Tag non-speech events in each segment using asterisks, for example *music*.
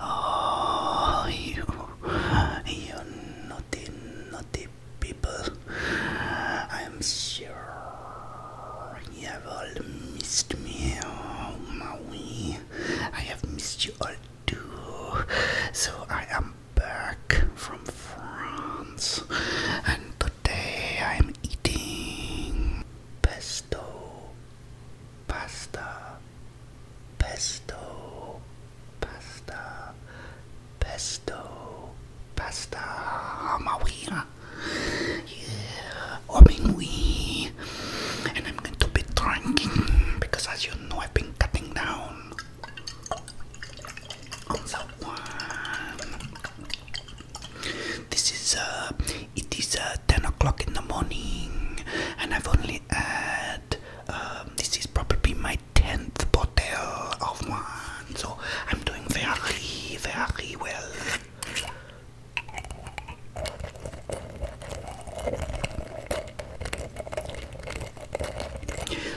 Oh, you, you naughty, naughty people. I'm sure you have all missed me. Oh, Maui. I have missed you all too. So I am back from France. And today I'm eating pesto pasta, pesto, pasta, pesto, pasta, mawira, yeah, omingui, and I'm going to be drinking because, as you know, I've been cutting down on that one. This is uh, it is uh, ten o'clock in the morning, and I've only had um, this is probably my tenth bottle of wine, so I'm doing very, very well.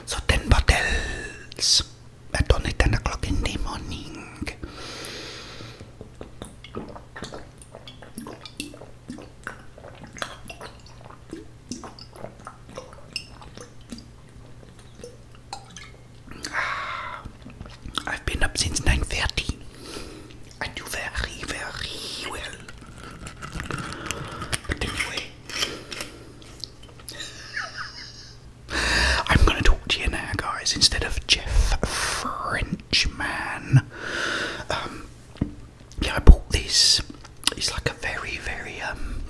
So ten bottles at only ten o'clock in the morning. *sighs* I've been up since 9.30. I do very, very well. *laughs* I'm going to talk to you now, guys, instead of Jeff man. Um, yeah, I bought this. It's like a very, very um,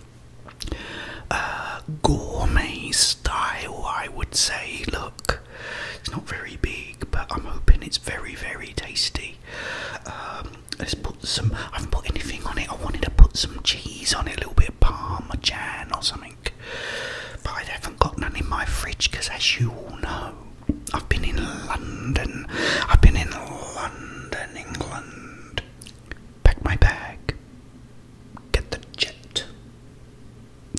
uh, gourmet style, I would say. Look, it's not very big, but I'm hoping it's very, very tasty. Um, let's put some. I haven't put anything on it. I wanted to put some cheese on it, a little bit of parmesan or something. But I haven't got none in my fridge because, as you all know, I've been in London. I've been in London, England. Pack my bag, get the jet,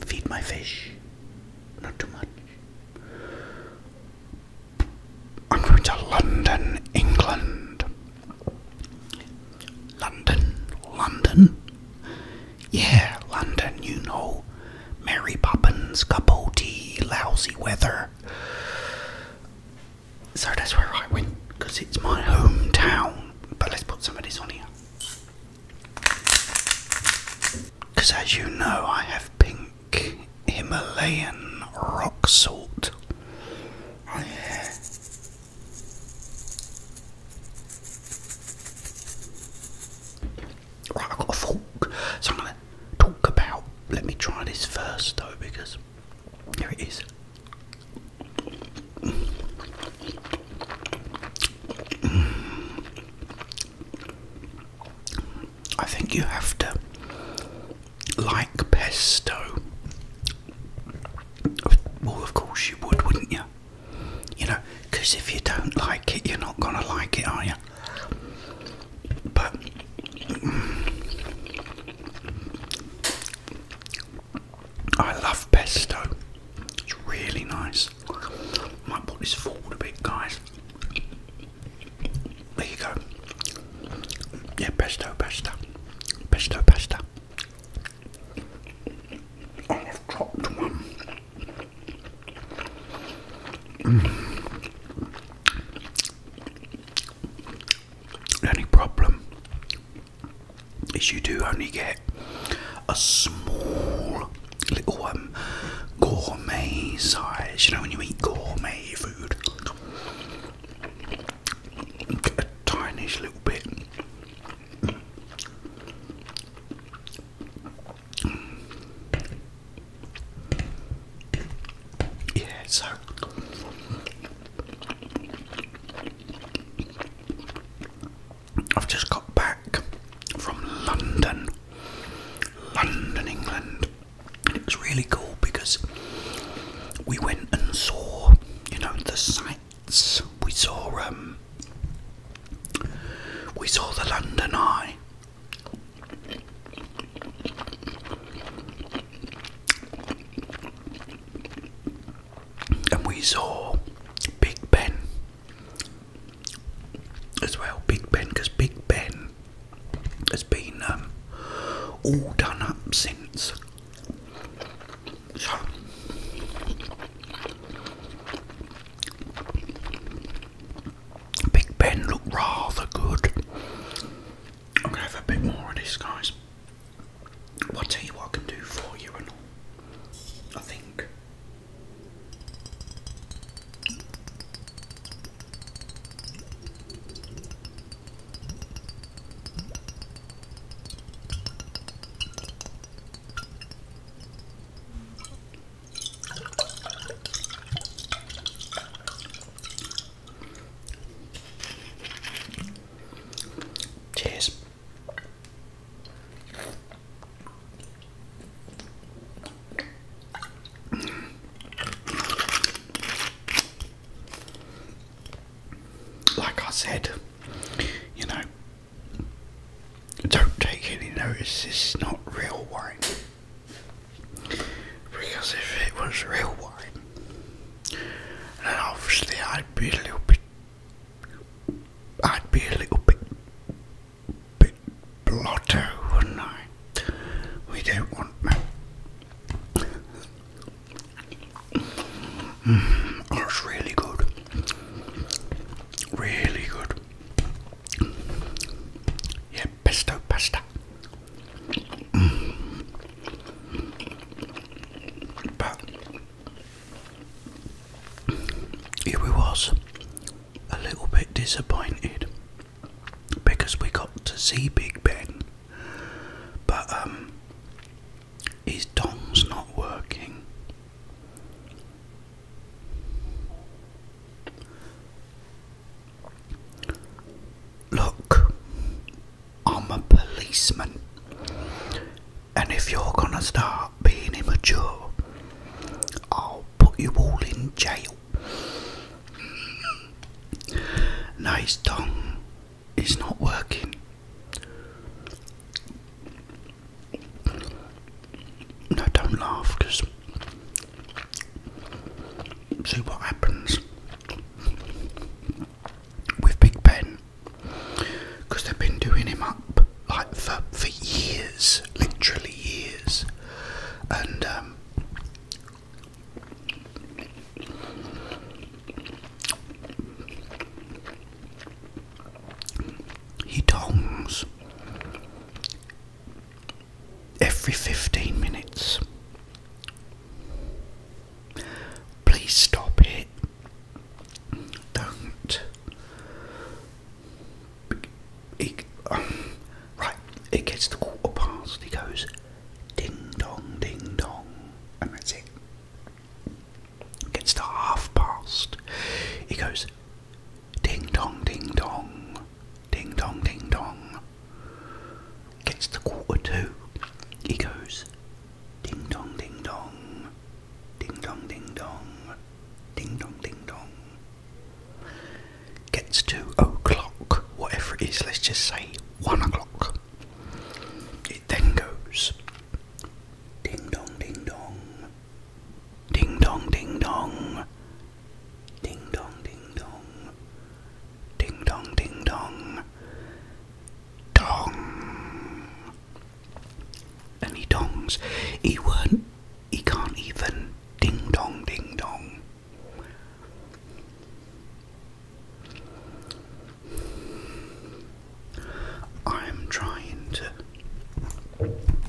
feed my fish. Not too much. I'm going to London, England. London, London. Yeah, London, you know. Mary Poppins, cup o' tea, lousy weather. So that's where I went, because it's my hometown. But let's put some of this on here. Because as you know, I have pink Himalayan rock salt. Oh, yeah. Right, I've got a fork, so I'm going to talk about. Let me try this first though, because here it is. I think you have to like pesto. Well, of course you would, wouldn't you? You know, because if you don't like it, you're not going to like it, are you? But. I love pesto. It's really nice. Might put this forward a bit, guys. There you go. Yeah, pesto, pesto. Pesto, pesto. Oh, I've dropped one. The mm. problem is you do only get a small little um, gourmet size. You know when you eat gourmet food, a tinish little bit. Yeah, so I've just got back from London, London, England. It was really cool because we went and saw, you know, the sights. We saw um we saw the London Eye. And we saw Big Ben as well. Big Ben, because Big Ben has been um, all done up since. Big Ben looked rather good. I'm gonna have a bit more of this, guys. What do you want I can do for you and all. I think. Cheers. Like I said, you know, don't take any notice, this is not real wine. Because if it was real wine, then obviously I'd be a little bit. I'd be a little bit. bit blotto, wouldn't I? We don't want that. Mm, that's really good. Really good. Yeah, pesto pasta. Mm. But here we was a little bit disappointed because we got to see Big Ben, but um, his dong's not working. Look, I'm a policeman, and if you're gonna start being immature, I'll put you all in jail. Mm. Nice tongue is not working. No, don't laugh, because see what happens with Big Ben, because they've been doing him up like for for years, literally years, and um, he tongs every 15 minutes. Please stop it. Don't. right, it gets the quarter past, he goes ding dong, ding dong, and that's it. Gets to half past, he goes Ding dong, ding dong, ding dong, ding dong. Gets the quarter to. He goes, ding dong, ding dong, ding dong, ding dong, ding dong, ding dong. Gets to o'clock, whatever it is, let's just say one o'clock. It then goes, ding dong, ding dong, Ding dong, ding dong. Ding dong, ding dong. Ding dong, ding dong. Dong. And he dongs. He won't. He can't even. Ding dong, ding dong. I'm trying to,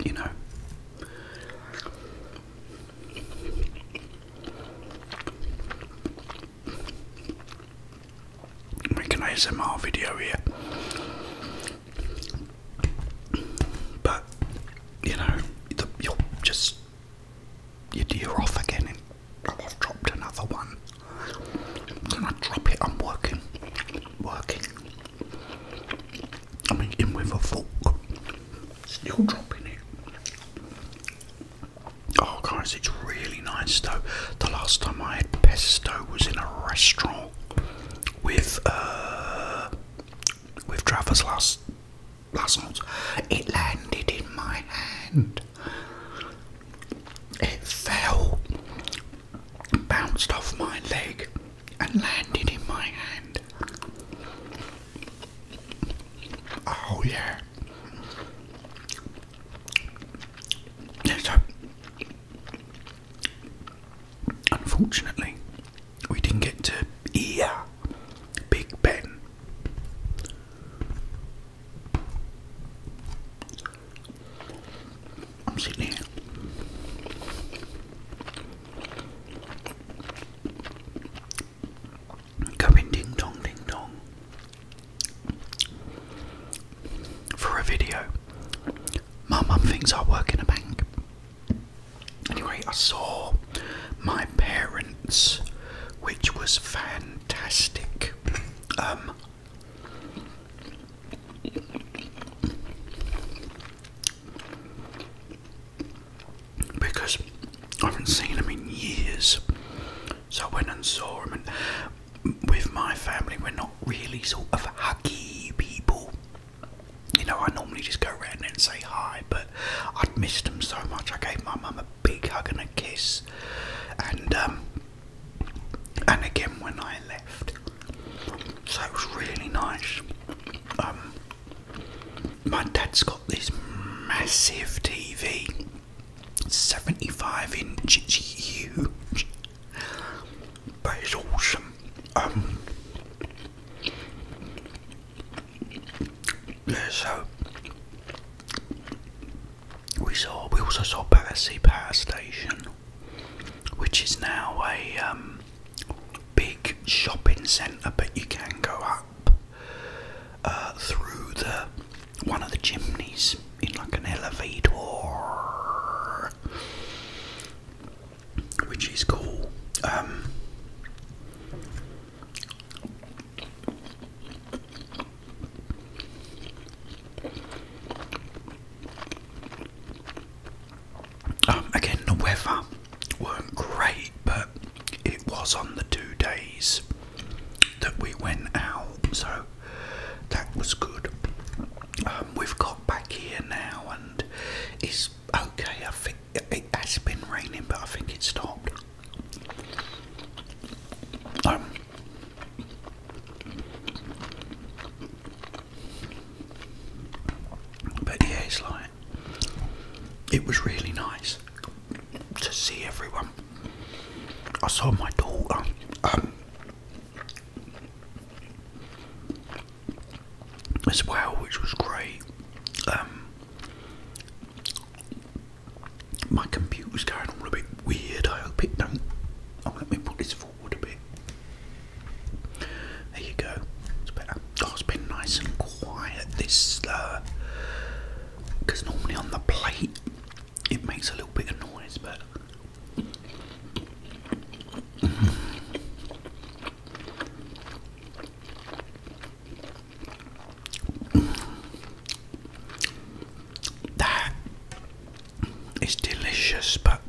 you know, Make an ASMR video here, but you know you're just you're off again, I've dropped another one. Can I drop it? I'm working, working. I mean, in with a fork, still dropping it. Oh, guys, it's really nice though. The last time I had pesto was in a restaurant with uh, with Travers last last month. It landed in my hand. It fell, bounced off my leg, and landed in my hand. Oh, yeah. So, unfortunately, we didn't get to hear Big Ben. I'm sitting here Going ding dong ding dong for a video. My mum thinks I work in a bank. Anyway, I saw my parents, which was fantastic. Um, because I haven't seen him in years. So I went and saw him, and with my family, we're not really sort of huggy people. You know, I normally just go around and say hi, but i missed him so much. I gave my mum a big hug and a kiss, and um, and again when I left, so it was really nice. Um, my dad's got this massive TV, 75 inch, huge, but it's awesome. Um, yeah, so we saw, we also saw Battersea Power Station, which is now a um, big shopping centre, but you can go up uh, through the one of the chimneys in like an elevator, which is cool. Um, um, again, the weather weren't great, but it was on the two days that we went out, so that was good. Um, we've got back here now, and it's okay. I think it has been raining, but I think it stopped. Um, but yeah, it's like. It was really nice to see everyone. I saw my daughter. Um, as well, which was great. Um, my computer's going all a bit weird. I hope it don't. let me put this forward a bit. There you go. It's better. Oh, it's been nice and quiet this, because uh, normally on the plate it makes a little bit of noise, but. That is delicious, but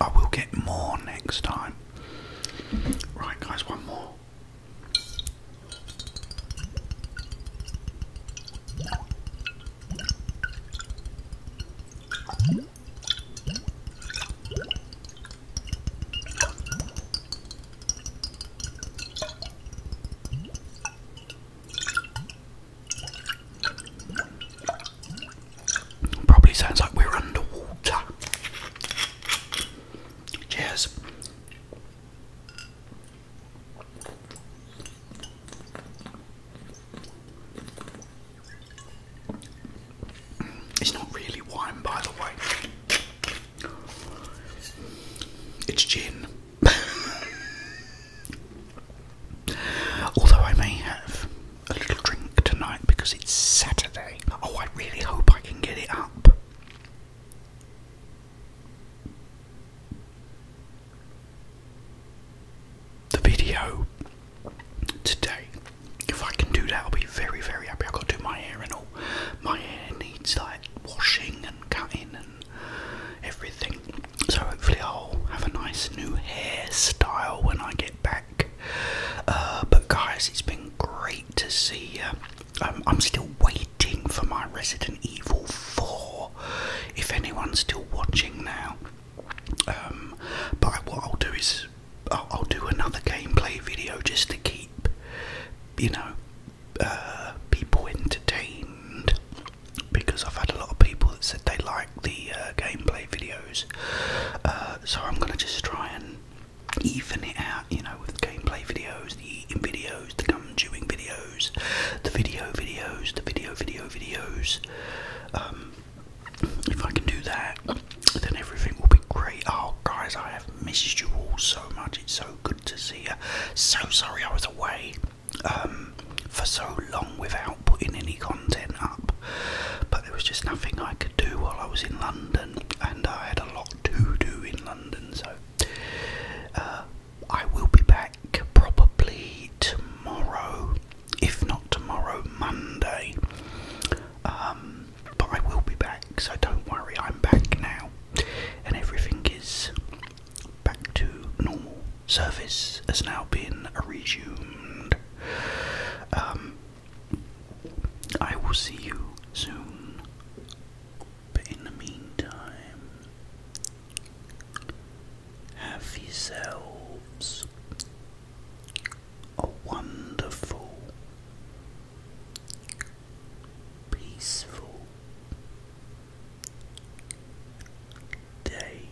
I will get more next time. Right, guys, one more. Probably sounds like we're underwater. Cheers. It's not really wine, by the way. It's gin. *laughs* Although I may have a little drink tonight because it's Saturday. Oh, I really hope I can get it up. The video today. If I can do that, I'll be very, very happy. I've got to do my hair and all. My hair needs like washing and cutting and everything. So hopefully, I'll have a nice new hairstyle when I get back. Uh, but guys, it's been great to see you. Um, I'm still waiting for my Resident Evil 4. If anyone's still watching now, um, but what I'll do is I'll, do another gameplay video just to keep, you know, uh, people entertained because I've had a lot of people that said they like the uh, gameplay videos. so I'm gonna just try and even it out, you know, with the gameplay videos, the eating videos, the gum chewing videos, the video videos, the video video videos. Um, if I can do that, then everything will be great. Oh, guys, I have missed you all so much. It's so good to see you. So sorry I was away um, for so long without putting any content up, but there was just nothing I could do while I was in London, and I had a lot to do in London, so uh, I will be back probably tomorrow, if not tomorrow, Monday. Um, but I will be back, so don't worry, I'm back now, and everything is back to normal. Service has now been resumed. Um, I will see you soon. But in the meantime, have yourselves a wonderful, peaceful day.